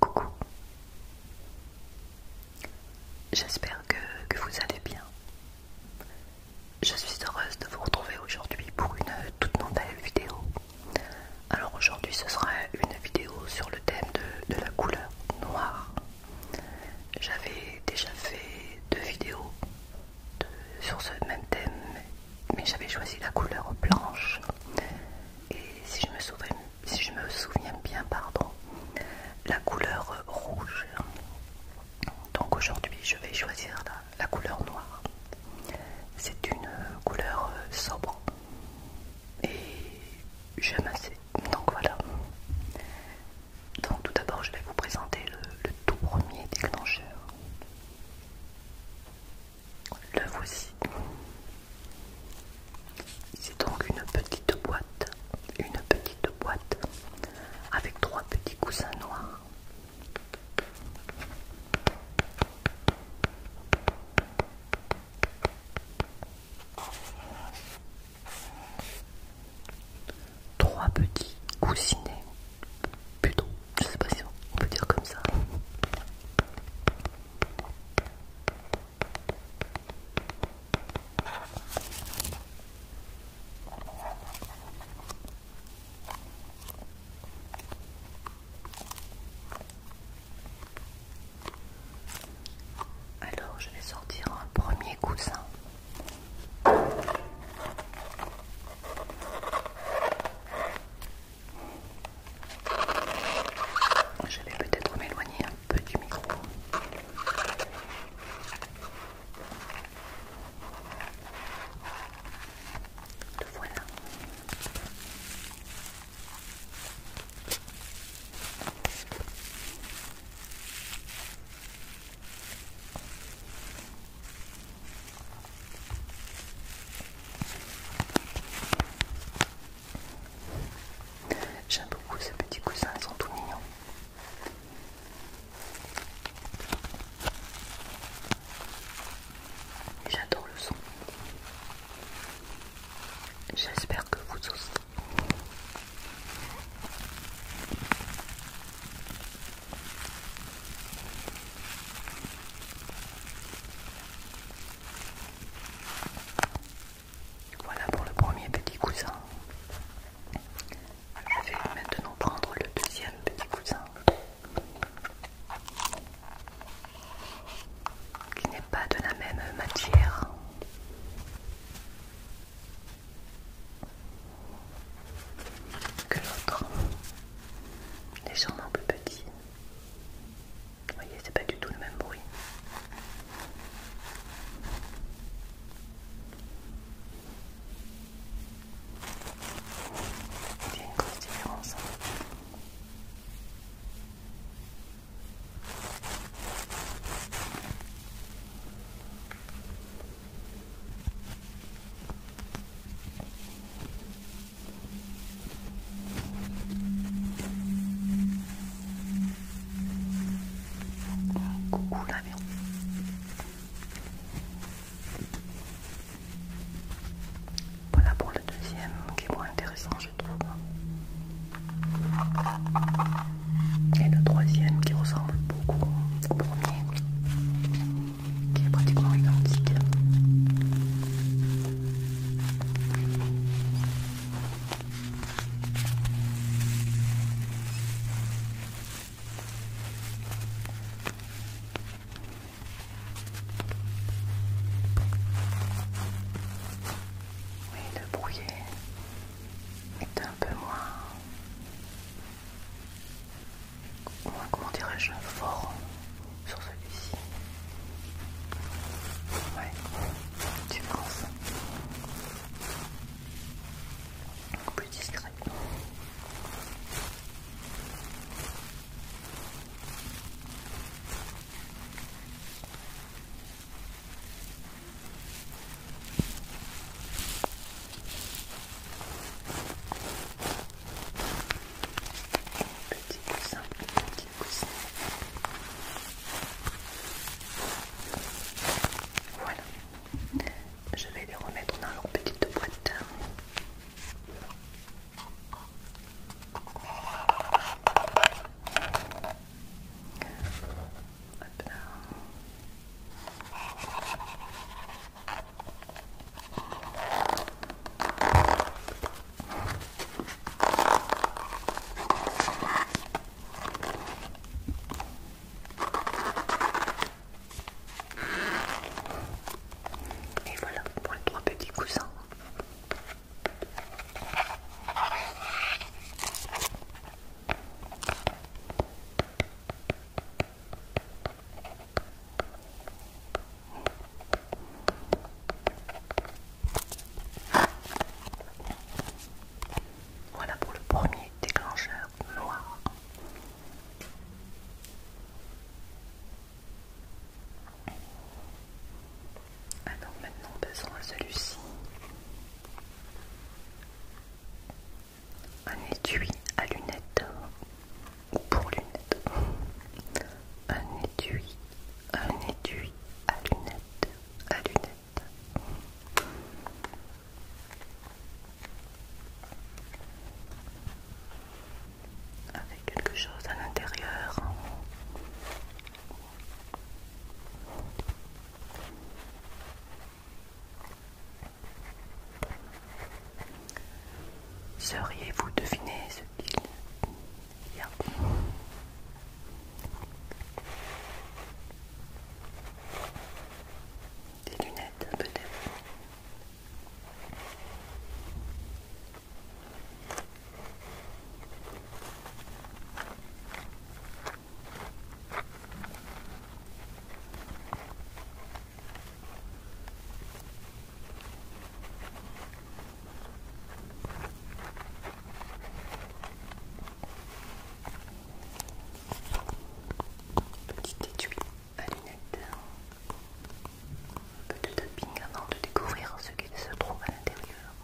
Coucou. J'espère que, vous allez bien. Je suis heureuse de vous retrouver aujourd'hui pour une toute nouvelle vidéo. Alors aujourd'hui ce sera une vidéo sur le thème de, la couleur noire. J'avais déjà fait deux vidéos sur ce même thème, mais j'avais choisi la couleur blanche. Et si je me souviens si je me souviens bien, pardon, la couleur rouge. Donc aujourd'hui, je vais choisir la, couleur noire. C'est une couleur euh, sobre et j'aime assez. Donc voilà. Donc tout d'abord, je vais vous présenter le tout premier déclencheur. Le voici. C'est donc une petite boîte, une petite boîte avec trois petits coussins noirs. Trois petits coussinets, plutôt, je sais pas si on peut dire comme ça. Alors je vais sortir un premier coussin. Je vais peut-être m'éloigner un peu du micro. voilà. J'aime beaucoup ces petits cousins, ils sont tout mignons. J'adore le son. J'espère que vous aussi. Voilà pour le premier petit cousin. Je vais maintenant prendre le deuxième petit cousin qui n'est pas de la même matière. Que l'autre, un plus petit, vous voyez, c'est pas du tout le même bruit. Il y a une grosse différence. Hein. Coucou l'avion. Voilà pour le deuxième qui est moins intéressant je trouve. Et le troisième qui ressemble beaucoup au premier, qui est pratiquement identique. Oui, le brouillé est un peu moins, moins comment dirais-je, fort sur celui-ci. Ouais, tu penses plus discret. Voilà. Je vais les remettre dans leur petite boîte. Et voilà pour les trois petits coussins. Voilà pour le premier déclencheur noir. Alors ah maintenant besoin de celui-ci. Un étui à lunettes ou pour lunettes un étui à lunettes, à lunettes. Avec quelque chose à l'intérieur. Seriez-vous deviner ce qu'il des lunettes peut-être. Petit étui à lunettes, un peu de tapping avant de découvrir ce qu'il se trouve à l'intérieur.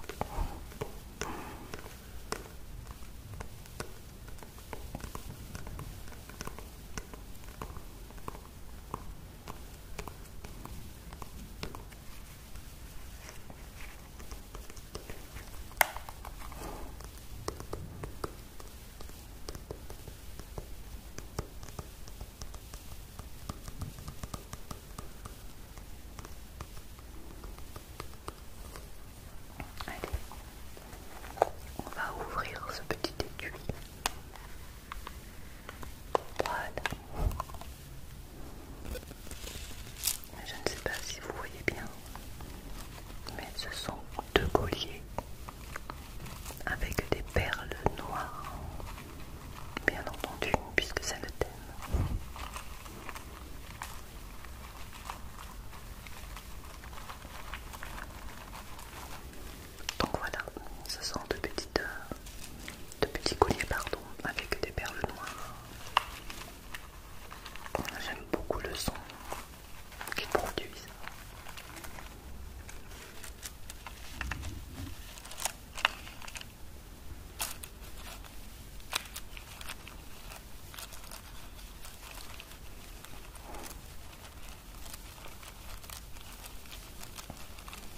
Allez, on va ouvrir ce petit étui. Voilà. Je ne sais pas si vous voyez bien, mais ce sont deux colliers avec des perles noires, bien entendu, puisque ça le thème. Donc voilà, ce sont deux petites euh, de petits colliers pardon avec des perles noires. J'aime beaucoup le son qu'ils produisent.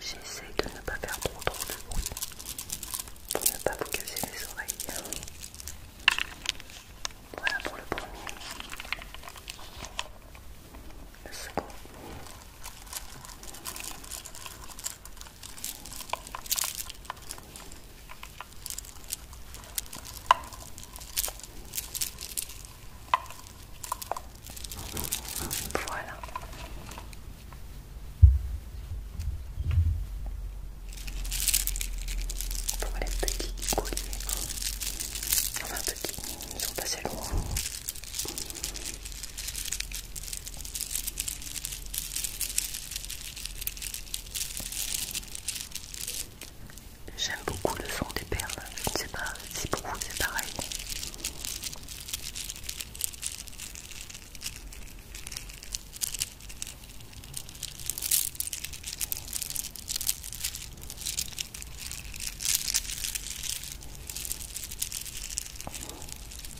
J'essaie de ne pas faire trop trop de bruit pour ne pas vous casser les oreilles. Voilà pour le premier. Le second. Voilà. Pour les petits colliers, enfin petit, ils sont si loin. J'aime beaucoup le son des perles, je ne sais pas si pour c'est pareil.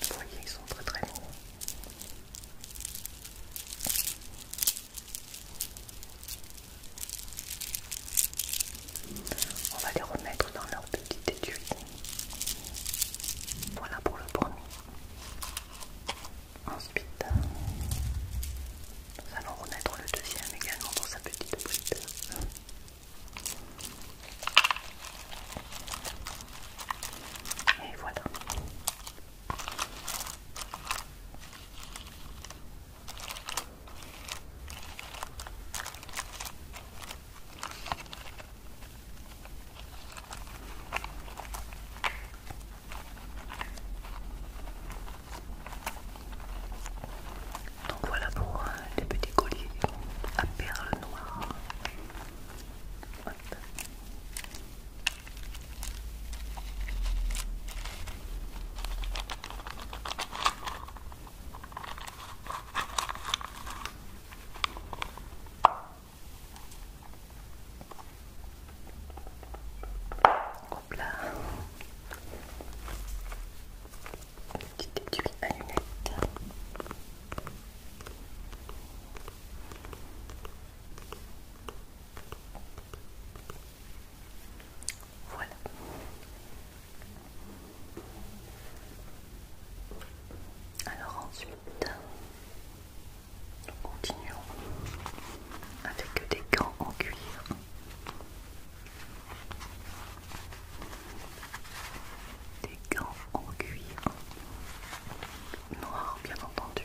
Vous voyez, ils sont très très beaux. On va les remettre dans leur petite étude. Voilà pour le premier. Ensuite, nous allons renaître le deuxième également dans sa petite bride. Et voilà. Donc voilà pour euh, les petits colliers à perles noires. Hop là. à lunettes. Voilà. Alors ensuite, nous continuons avec des gants en cuir. Des gants en cuir noir bien entendu.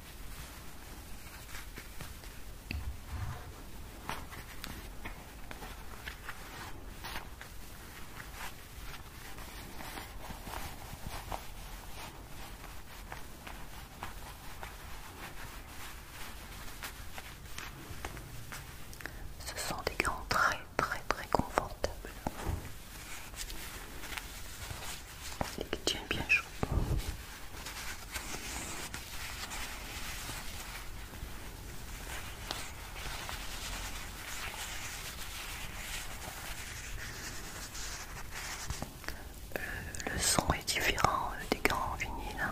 Ce sont des grands, très très très confortables et qui tiennent bien chaud. Euh, le son est différent euh, des grands vinyles. Hein.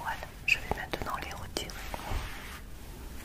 Voilà, je vais maintenant les retirer.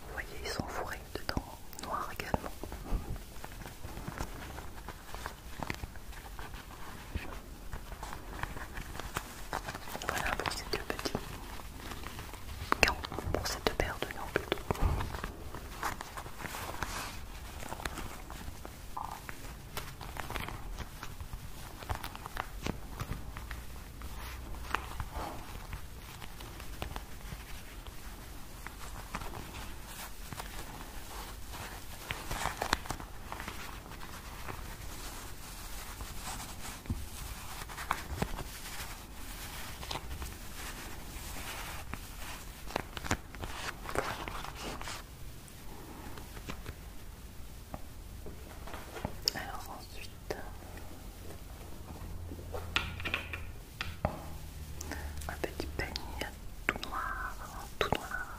Vous voyez, ils sont fourrés dedans, noirs également. Voilà pour ces deux petits Bon, pour cette deux paires de gants plutôt. Alors ensuite, un petit panier tout noir, tout noir.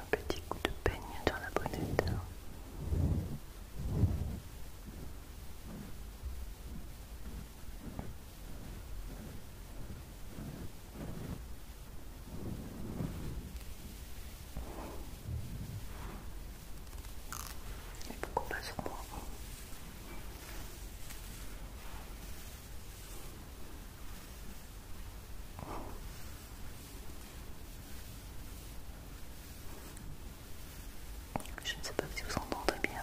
Un petit coup de peigne dans la bonnette. Je ne sais pas si vous entendez bien.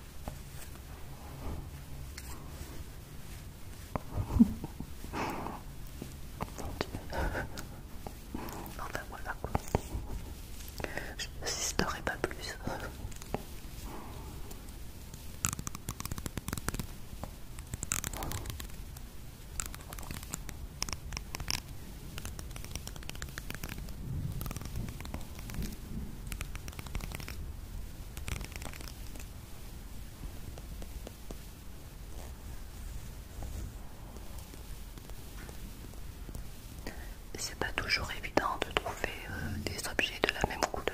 Enfin voilà quoi. Je ne n'insisterai pas plus. C'est pas toujours évident de trouver euh, des objets de la même couleur.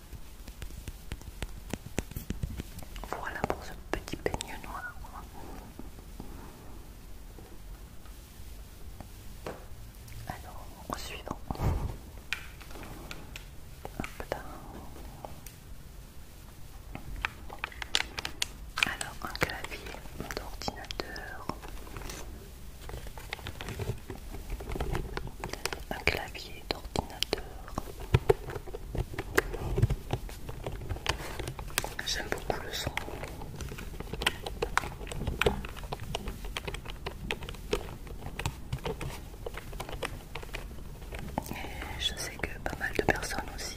Voilà pour ce petit peigne noir. Alors, suivant. Alors, un clavier d'ordinateur. Un clavier J'aime beaucoup le son. Et je sais que pas mal de personnes aussi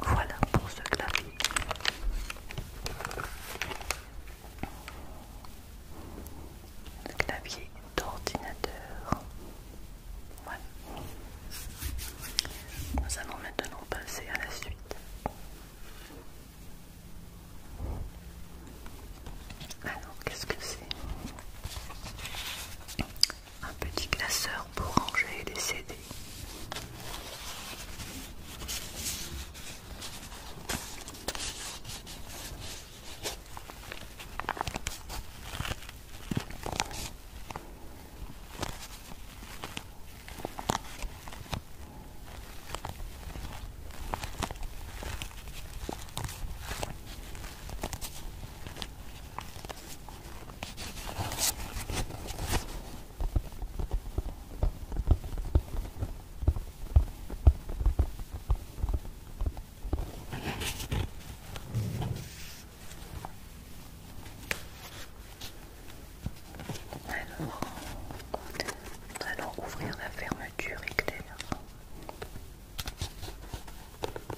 Voilà pour ce clavier. Le clavier d'ordinateur. Voilà. Nous allons maintenant passer à la suite. Alors, qu'est-ce que c'est un petit classeur pour ranger les CD. Alors, allons ouvrir la fermeture éclair.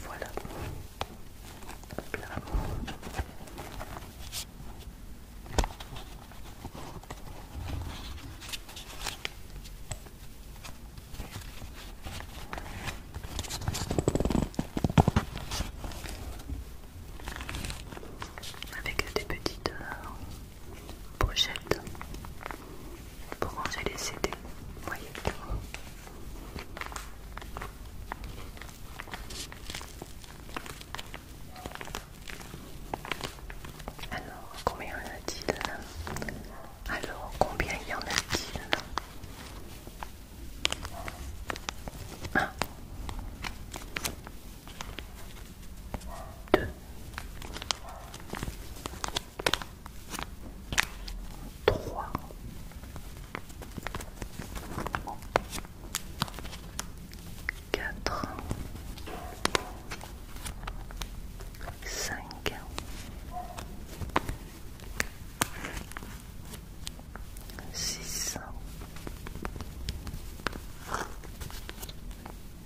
Voilà. Avec des petites euh, pochette pour ranger les CD. Voyez. Alors, combien y en a-t-il Alors, combien y en a-t-il un, deux, trois, quatre, cinq, six.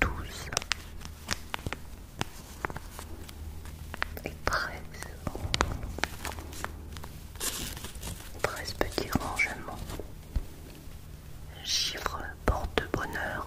douze et treize. Treize petits rangements. Chiffre porte bonheur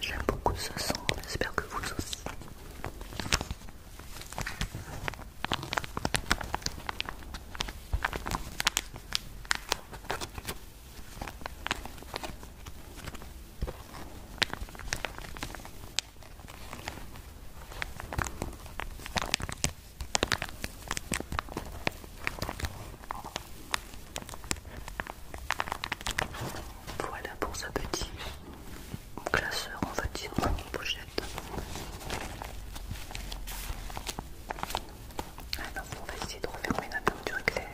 J'aime beaucoup ce son, j'espère que vous aussi. Voilà pour ce petit classeur, on va dire, en pochette. Alors, on va essayer de refermer la peinture éclair.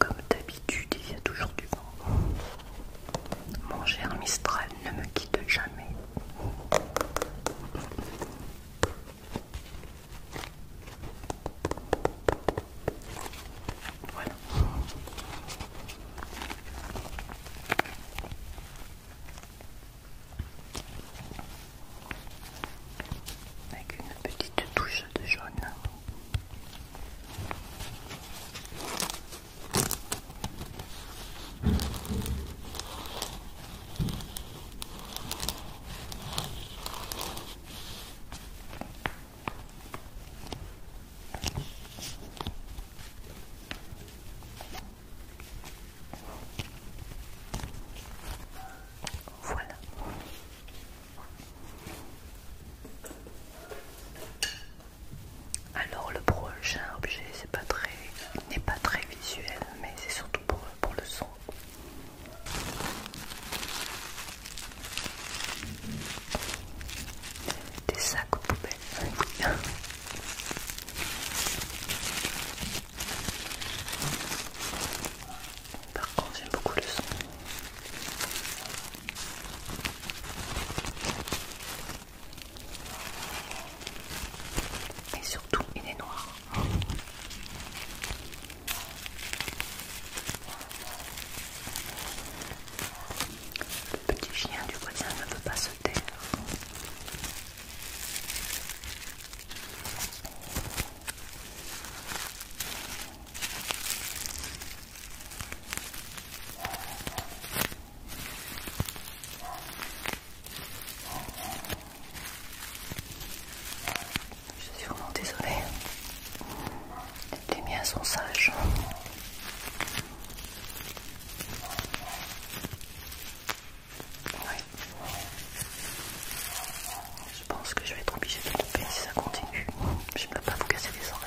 Comme d'habitude, il y a toujours du vent. Mon cher Mistral ne me quitte jamais. Avec une petite touche de jaune. Voilà. Alors le prochain objet, c'est pas très, n'est pas très visuel, mais c'est surtout pour, pour le son. Des sacs aux poubelles. Oui. Par contre, j'aime beaucoup le son. Et surtout, il est noir. Le petit chien du voisin ne peut pas sauter. Je suis vraiment désolée. Les miens sont sages. Oui. Je pense que je vais être obligée de couper si ça continue. Je ne peux pas vous casser les oreilles.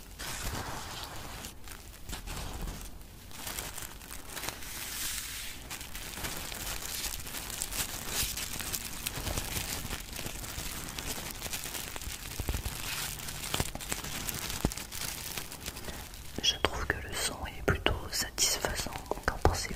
Je trouve que le son est plutôt satisfaisant, qu'en pensez-vous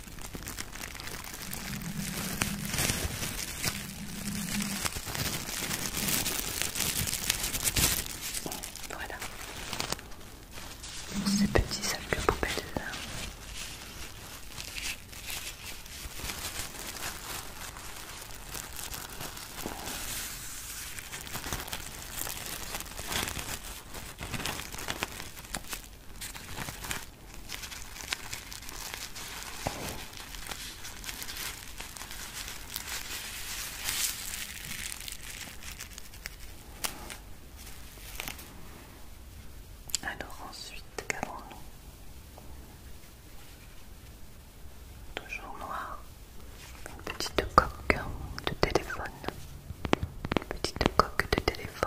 Voilà ces petits sacs de poubelle. Alors ensuite, qu'avons-nous Toujours noir, une petite coque de téléphone, une petite coque de téléphone.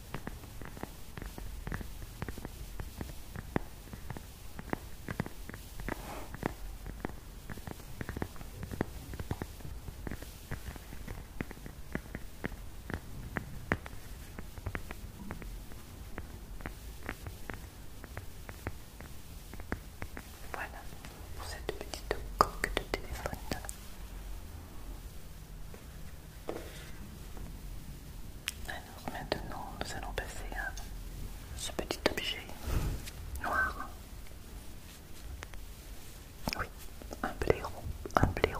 Voilà pour cette petite coque de téléphone. Alors maintenant, nous allons passer à ce petit objet noir. Oui, un blaireau, un blaireau.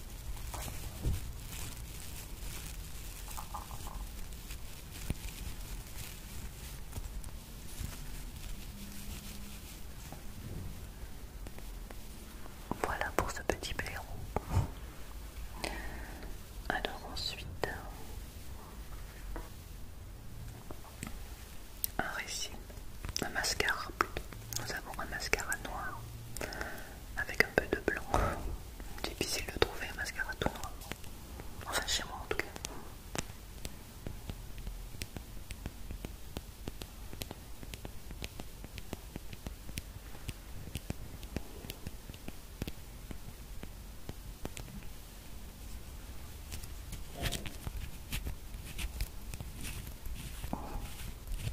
Voilà pour ce petit bébé. Alors ensuite, un récit, un mascara plutôt. Nous avons un mascara noir avec un peu de blanc. Difficile de trouver un mascara tout noir. Enfin chez moi en tout cas.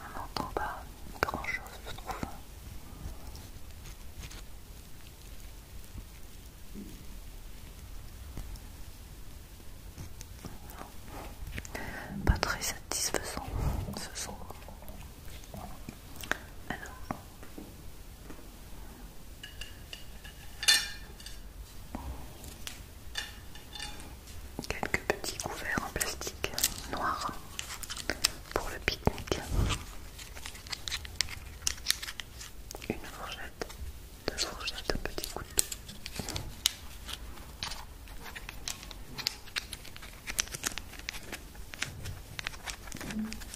On n'entend pas grand chose, je trouve. Pas très satisfaisant ce son quelques petits couverts en plastique noir pour le pique-nique. Une fourchette, deux fourchettes, un petit couteau.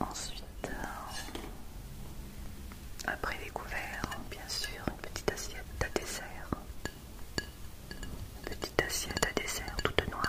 Ensuite, euh, après les couverts, bien sûr, une petite assiette à dessert. petite assiette à dessert toute noire.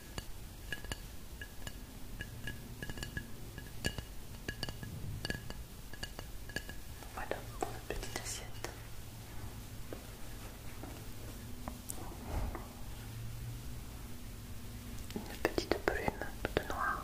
Voilà une petite assiette. Une petite plume de noir.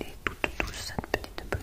Elle est toute douce cette petite plume.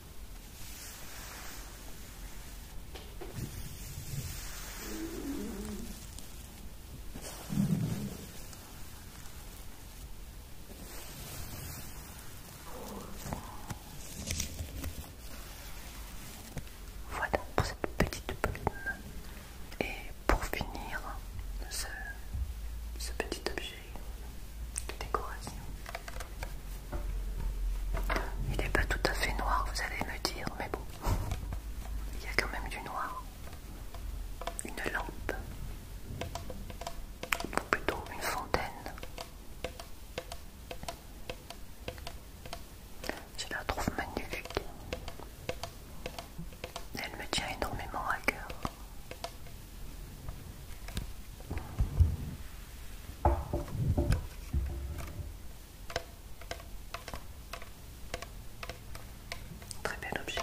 Voilà pour cette petite plume. Et pour finir, ce, ce petit objet de décoration. Il n'est pas tout à fait noir, vous allez me dire, mais bon, il y a quand même du noir. Une lampe, ou plutôt une fontaine. Je la trouve magnifique. Elle me tient énormément à cœur. Très bel objet.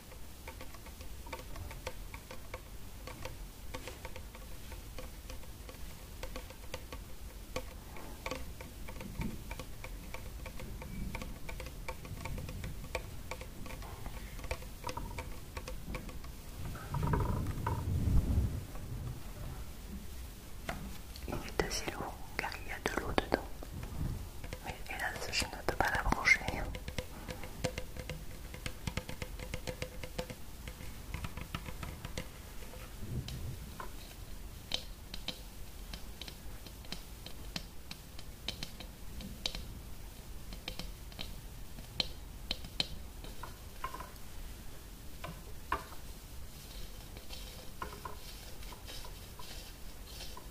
Il est assez lourd car il y a de l'eau dedans. Mais hélas, je ne peux pas la brancher.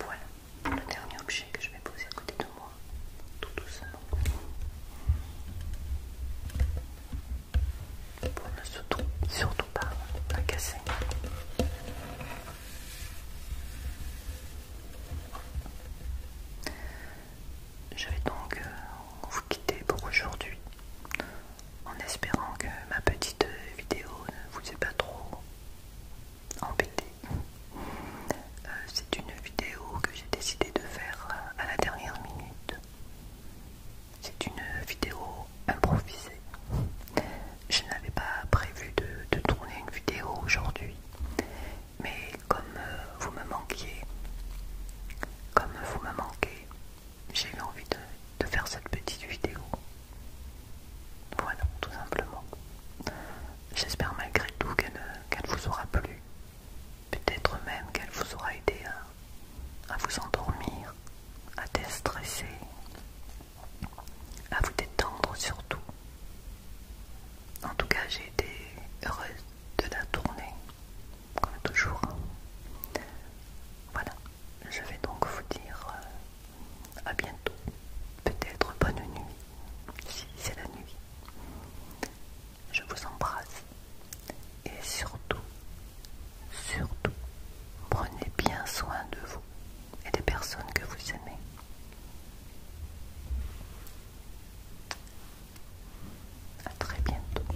Voilà le dernier objet que je vais poser à côté de moi, tout doucement, pour ne surtout, surtout pas la casser. Je vais donc euh, vous quitter pour aujourd'hui en espérant que ma petite vidéo ne vous ait pas trop embêté. Euh, c'est une vidéo que j'ai décidé de faire à la dernière minute. C'est une vidéo improvisée. Je n'avais pas prévu de, de tourner une vidéo aujourd'hui, mais comme euh, vous me manquiez, comme vous me manquez, j'ai eu envie de, faire cette petite vidéo. Voilà, tout simplement. J'espère malgré tout qu'elle vous aura plu. Peut-être même qu'elle vous aura aidé à, vous endormir, à déstresser, à vous détendre surtout. En tout cas, j'ai été heureuse de la tourner comme toujours. Voilà, je vais donc vous dire euh, à bientôt. Peut-être bonne nuit, si c'est la nuit. Je vous embrasse et surtout, surtout, prenez bien soin de vous et des personnes que vous aimez. À très bientôt.